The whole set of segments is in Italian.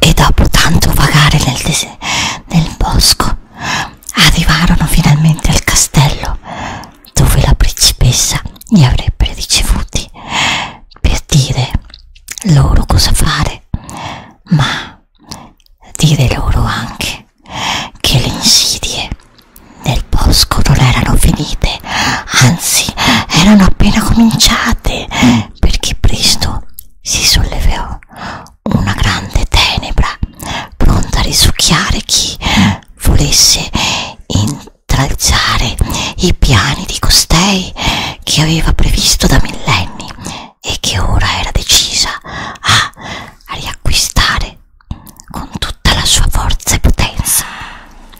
E dopo tanto vagare nel, nel bosco arrivarono finalmente al castello dove la principessa li avrebbe ricevuti per dire loro cosa fare, ma dire loro anche che le insidie nel bosco non erano finite, anzi erano appena cominciate, perché presto si sollevò una grande tenebra pronta a risucchiare chi volesse intralzare i piani di costei che aveva previsto da millenni e che ora era decisa a riacquistare con tutta la sua forza e potenza.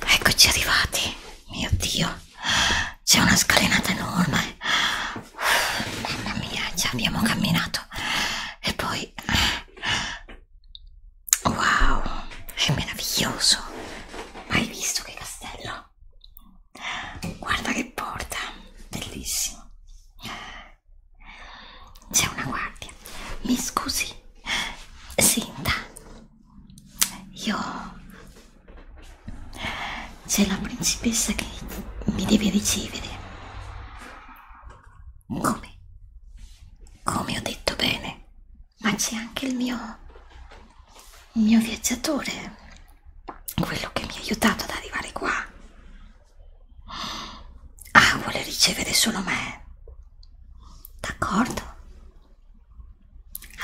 Eccoci arrivati, mio Dio, c'è una scalinata enorme. Mamma mia, già abbiamo camminato e poi. Wow, è meraviglioso! Hai visto che castello? guarda che porta bellissima c'è una guardia mi scusi senta io c'è la principessa che mi deve ricevere come come ho detto bene ma c'è anche il mio il mio viaggiatore, quello che mi ha aiutato ad arrivare qua. Ah, vuole ricevere solo me. D'accordo?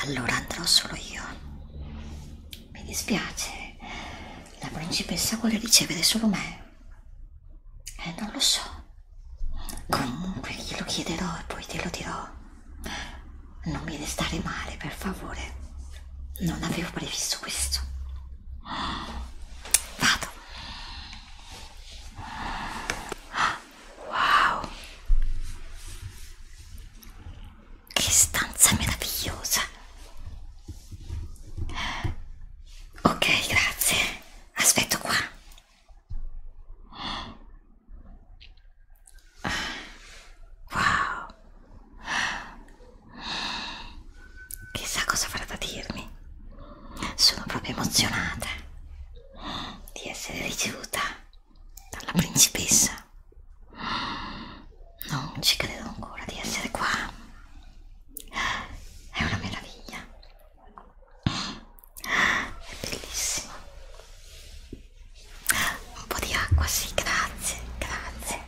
Allora andrò solo io. Mi dispiace, la principessa vuole ricevere solo me. Eh, non lo so. Comunque glielo chiederò e poi te lo dirò. Non mi restare male, per favore. Non avevo previsto questo. Vado. Wow. Che stanza meravigliosa. Ok, grazie. Aspetto qua. Wow. Chissà cosa avrà da dirmi. Sono proprio emozionata di essere ricevuta dalla principessa. Non ci credo ancora di essere qua. È una meraviglia è bellissimo un po' di acqua sì grazie grazie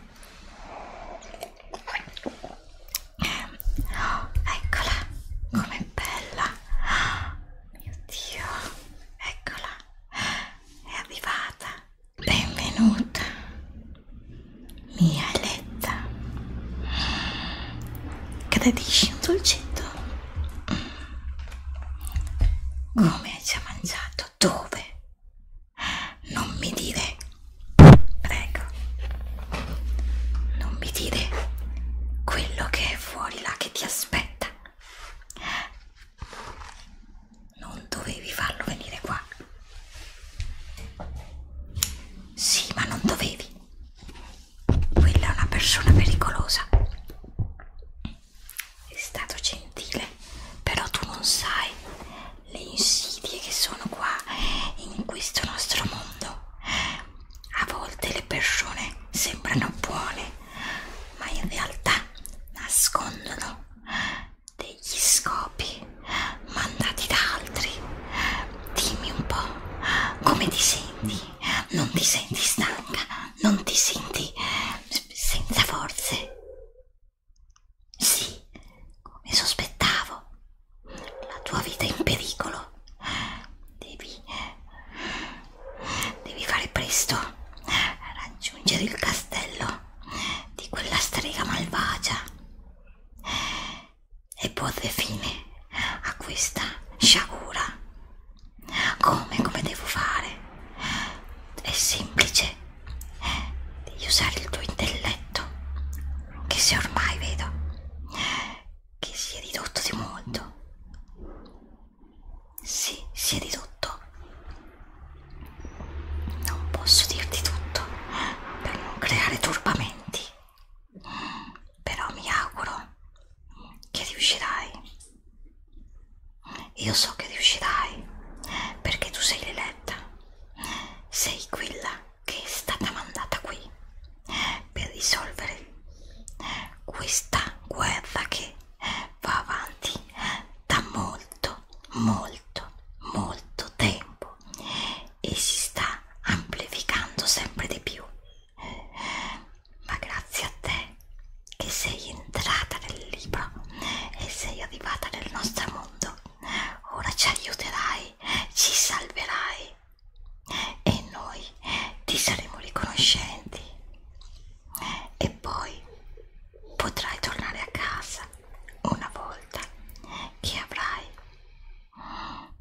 oh, eccola com'è bella oh, mio dio eccola è arrivata benvenuta mia eletta che ti un dolcetto come hai già mangiato? Dove? Non mi dire. Prego. Non mi dire quello che è fuori là che ti aspetta. Non dovevi farlo venire qua. Sì, ma non dovevi quella è una persona pericolosa è stato gentile però tu non sai le insidie che sono qua in questo nostro mondo a volte le persone sembrano buone ma in realtà nascondono degli scopi mandati da altri dimmi un po' come ti senti non ti senti stanca, non ti senti senza forze. Sì, come sospettavo, la tua vita è in pericolo. Devi, devi fare presto a raggiungere il castello di quella strega malvagia e porre fine a questa sciagura. Come? Come devo fare? È semplice, devi usare il tuo intelletto, che se ormai vedo che si è ridotto di molto. Sì, si è ridotto. Non posso dirti tutto per non creare turbamenti però mi auguro che riuscirai io so che riuscirai perché tu sei l'eletta sei quella che è stata mandata qui per risolvere questa guerra che va avanti da molto molto molto tempo e si sta amplificando sempre di più ma grazie a te che sei entrata nel libro e sei arrivata nel nostro mondo ora ci aiuterai ci salverai e noi ti saremo riconoscenti e poi potrai tornare a casa una volta che avrai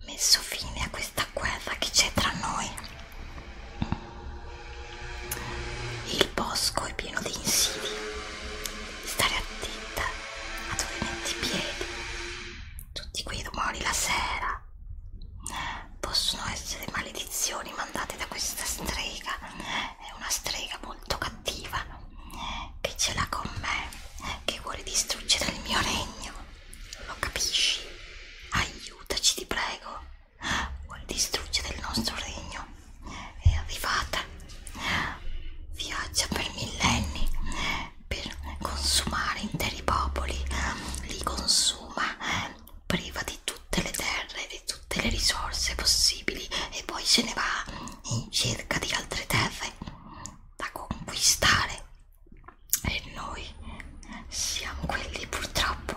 messo fine a questa guerra che c'è tra noi. Il bosco è pieno di insidie. Stare attenta a dove metti i piedi. Tutti quei rumori la sera possono essere maledizioni mandate da questa strega. È una strega molto cattiva che ce l'ha con me, che vuole distruggere il mio regno, lo capisci? Aiutaci, ti prego, vuole distruggere il nostro regno, è arrivata, viaggia per millenni per consumare interi popoli, li consuma priva di tutte le terre, di tutte le risorse possibili e poi se ne va in cerca di altre terre da conquistare e noi siamo quelli purtroppo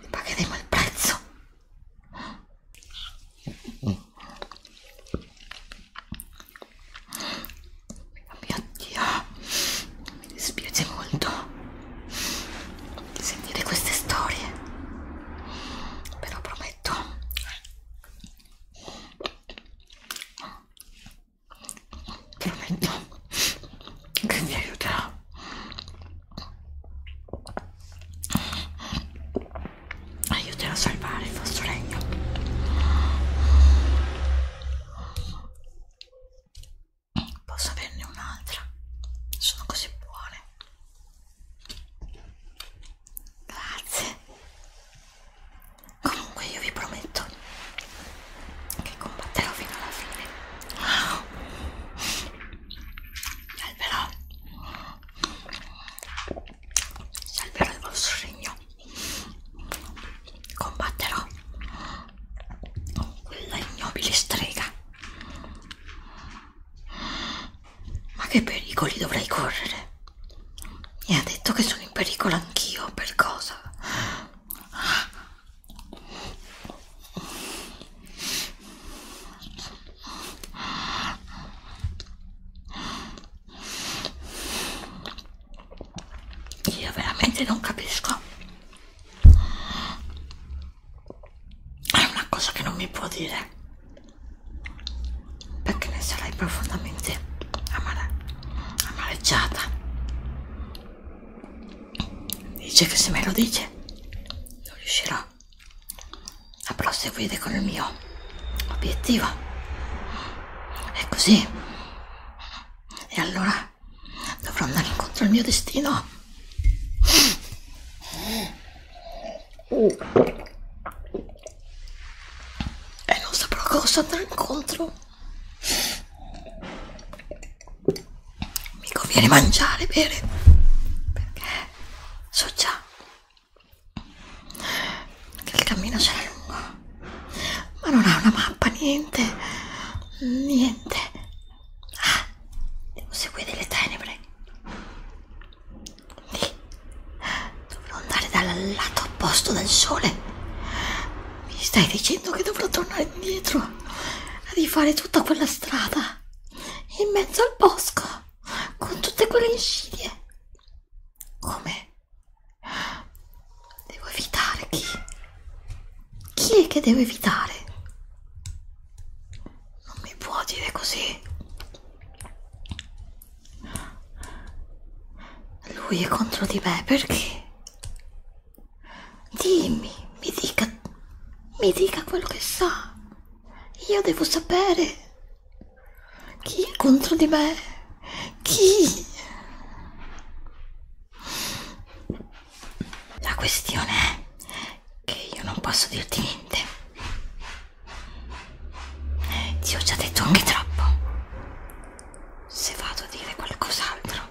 e pagheremo il prezzo oh mio dio mi dispiace molto di sentire queste storie però prometto veramente che mi aiuterà aiuterà a salvare il vostro regno posso averne un'altra sono così buone Grazie. Comunque io vi prometto che combatterò fino alla fine. Salverò. Salverò il vostro regno. Combatterò quella ignobile strega ma che pericoli dovrei correre? Mi ha detto che sono in pericolo anch'io, per cosa? Io veramente non capisco è una cosa che non mi può dire perché ne sarei profondamente amare, amareggiata dice che se me lo dice non riuscirò a proseguire con il mio obiettivo è così e allora dovrò andare incontro al mio destino e non saprò cosa andrà incontro. Mi conviene mangiare, bene? Perché so già che il cammino sarà lungo. Ma non ha una mappa, niente. Niente. Ah, devo seguire le tenebre. Quindi dovrò andare dal lato opposto del sole. Mi stai dicendo che dovrò tornare indietro a rifare tutta quella strada in mezzo al bosco con tutte quelle insidie. Come? Devo evitare chi? Chi è che devo evitare? Non mi può dire così. Lui è contro di me perché? Dimmi, mi dica, mi dica quello che sa. Io devo sapere chi è contro di me. Chi? La questione è che io non posso dirti niente. Ti ho già detto anche troppo. Se vado a dire qualcos'altro,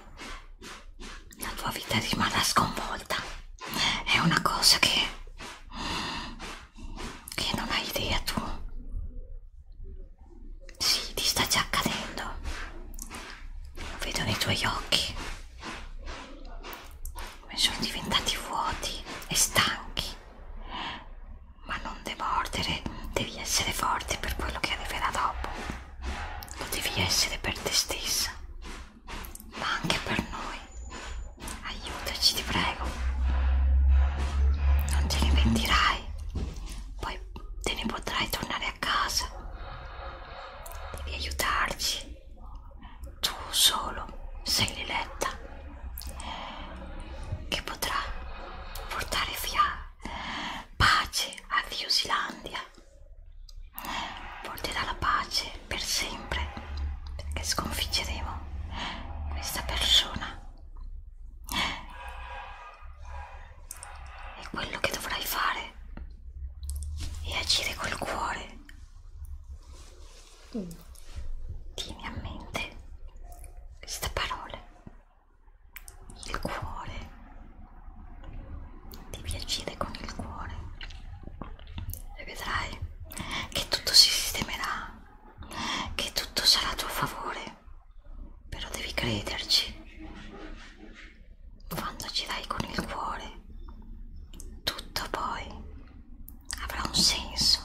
la tua vita rimarrà sconvolta. È una cosa che... che non hai idea tu. Sì, ti sta già accadendo. Lo vedo nei tuoi occhi. Come sono diventati vuoti e stanchi. Ma non demordere, devi essere forte per quello che arriverà dopo. Lo devi essere per te stessa, ma anche per noi. Aiutaci, ti prego. Non te ne pentirai. Poi te ne potrai tornare a casa e aiutarci. Tu solo sei l'eletta eh, che potrà portare via eh, pace a Fiusilandia. Porterà la pace per sempre perché sconfiggeremo questa persona è quello che dovrai fare e agire col cuore. Mm. Tieni a mente queste parole, il cuore, devi agire con il cuore e vedrai che tutto si sistemerà, che tutto sarà a tuo favore, però devi crederci quando ci dai con il cuore, tutto poi avrà un senso.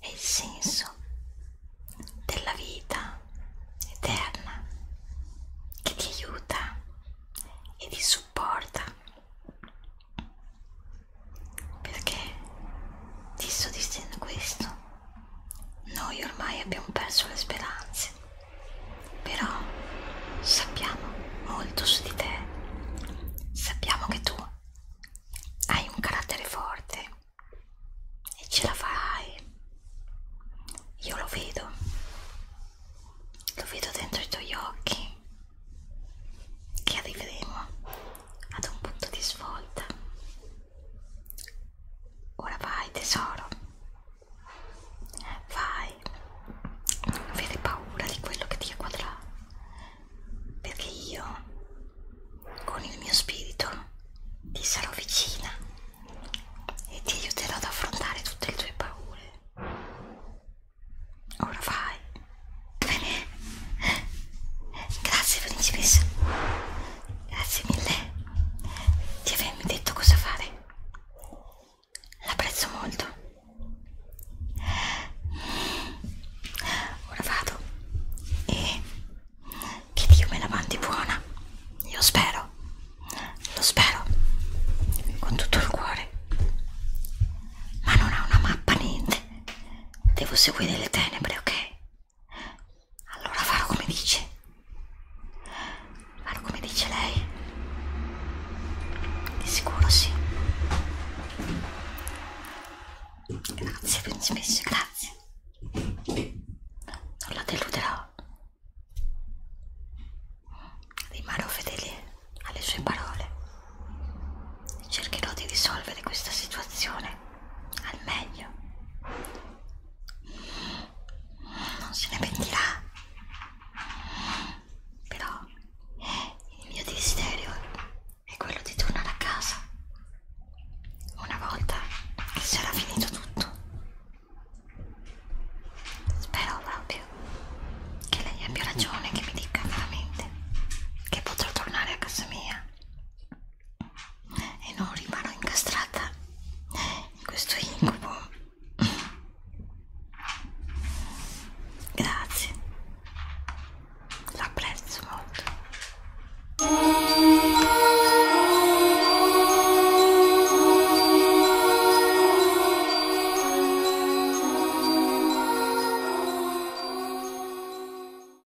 E il senso della vita eterna che ti aiuta e ti supporta perché ti sto dicendo questo noi ormai abbiamo perso le speranze però sappiamo molto su di te, sappiamo che tu hai un carattere forte e ce la farai, io lo vedo, lo vedo dentro i tuoi occhi che arriveremo ad un punto di svolta. Ora vai tesoro, vai non avere paura di quello che ti acquadrà perché io con il mio spirito ti sarò vicina e ti aiuterò ad affrontare tutte le tue paure ora vai bene grazie principessa Grazie mille di avermi detto cosa fare. L'apprezzo molto. Ora vado e che Dio me la mandi buona. Io spero, lo spero con tutto il cuore. Ma non ha una mappa, niente. Devo seguire le tenebre, ok? Allora farò come dice. Farò come dice lei. Di sicuro sì. Grazie, principessa, grazie. Non la deluderò. Rimarrò fedele alle sue parole e cercherò di risolvere questa situazione al meglio non se ne pentirà però il mio desiderio è quello di tornare a casa una volta che sarà finito tutto spero proprio che lei abbia ragione che mi dica veramente che potrò tornare a casa mia e non rimano incastrata in questo incubo. Grazie, l'apprezzo molto.